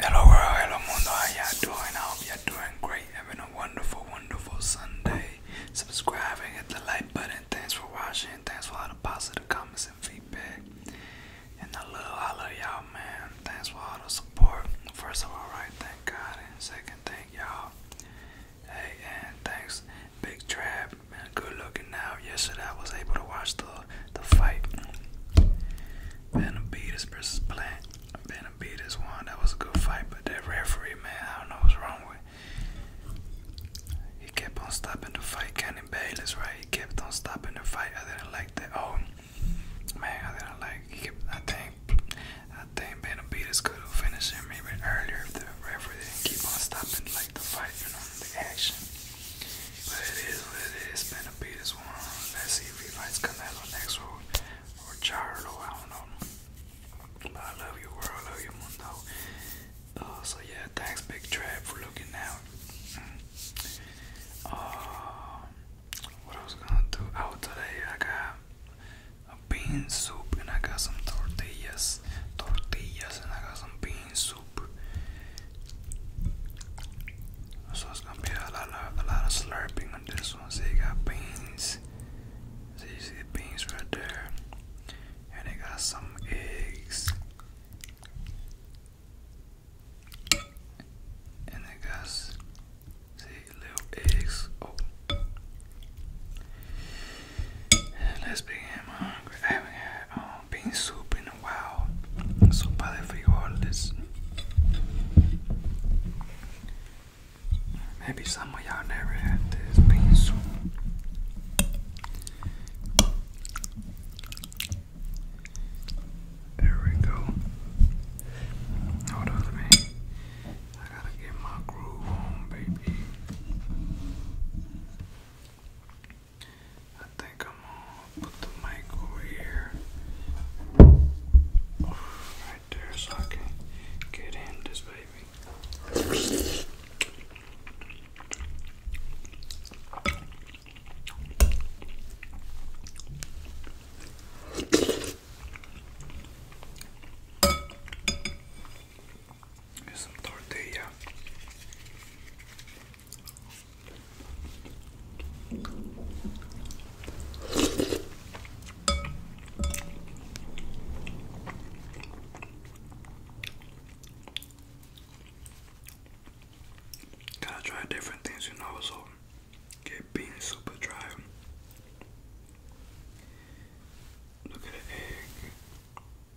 Hello world, hello mundo, how y'all doing? I hope y'all doing great, having a wonderful, wonderful Sunday. Subscribing, hit the like button. Thanks for watching. Thanks for all the positive comments and feedback. And I love, I love y'all, man. Thanks for all the support. First of all, right, thank God. And second, thank y'all. Hey, and thanks, Big Trap. Man, good looking now. Yesterday I was able to watch the the fight. Benavides versus Plant. Benavides won. That was a good fight, but that referee, man, I don't know what's wrong with. He kept on stopping the fight. Kenny Bayless, right? He kept on stopping the fight. I didn't like that. Oh, man, I didn't like. He kept, I think, I think Benavides could have finished him even earlier if the referee didn't keep on stopping like the fight, you the action. But it is what it is. Benavidez this one. Let's see if he fights Canelo next or, or Charlo. I don't know. But I love you, world. I love you, mundo. Uh, so yeah, thanks, Big Trap, for looking out. Uh, what I was gonna do? Oh, today I got a bean soup and I got some tortillas, tortillas, and I got some bean soup. So it's gonna be a lot of a lot of slurping on this one. So you got beans. So you see the beans right there. And they got some eggs. And they got see little eggs. Oh let's begin hungry bean soup in a while. Sopa de frijoles. Maybe some of y'all never had this bean soup. There we go. Hold on to I gotta get my groove on, baby. I think I'm gonna put the mic over here. Right there so I can get in this baby. It's tortilla. Gotta try different things, you know, so get bean super dry. Look at the egg.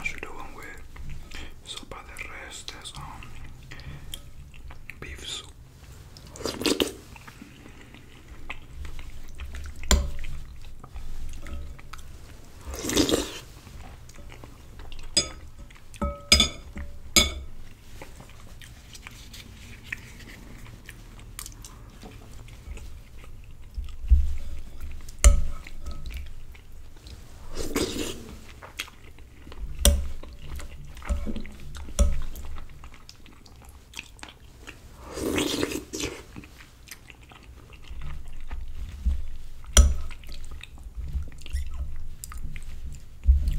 As you're doing with sopa the rest. there's um, beef soup.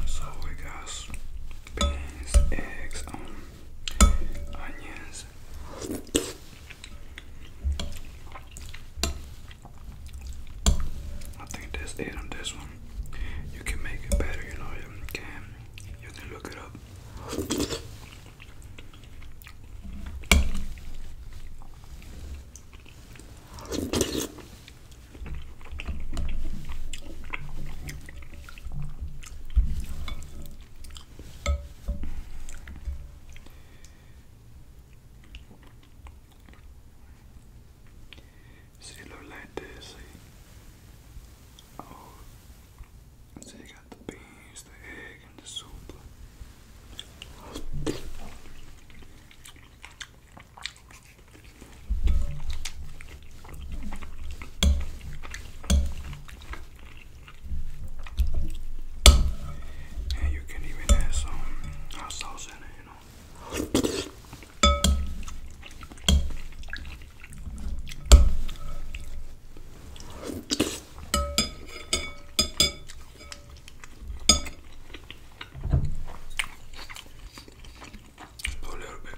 So we got beans, eggs, um, onions. I think that's it on this one. You can make it better, you know. You can, you can look it up. See, it look like this, Oh, see, you got the beans, the egg, and the soup. And you can even add some hot sauce in it, A little bit.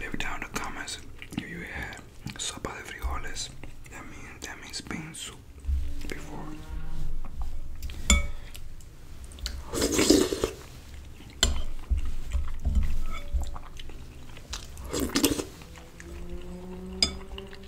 Leave down the comments you had sopa de frijoles. That means that means bean soup before.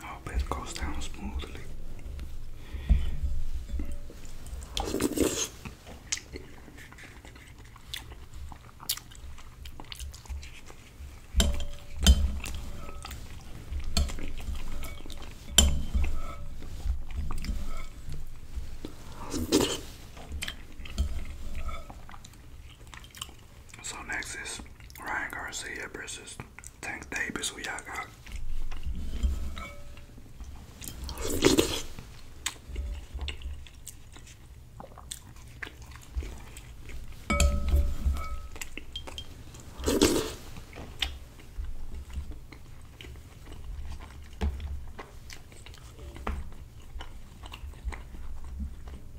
I hope it goes down smoothly. So next is Ryan Garcia versus Tank Davis. Who y'all got?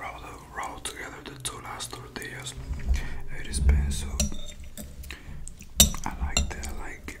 Roll, roll together the two last tortillas. It is pencil. I like that. I like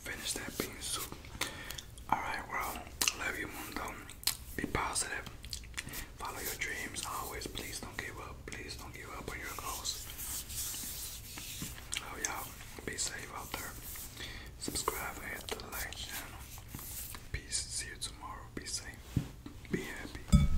Finish that bean soup. Alright, well, love you, mundo. Be positive. Follow your dreams always. Please don't give up. Please don't give up on your goals. Love y'all. Be safe out there. Subscribe and the like channel. Peace. See you tomorrow. Be safe. Be happy.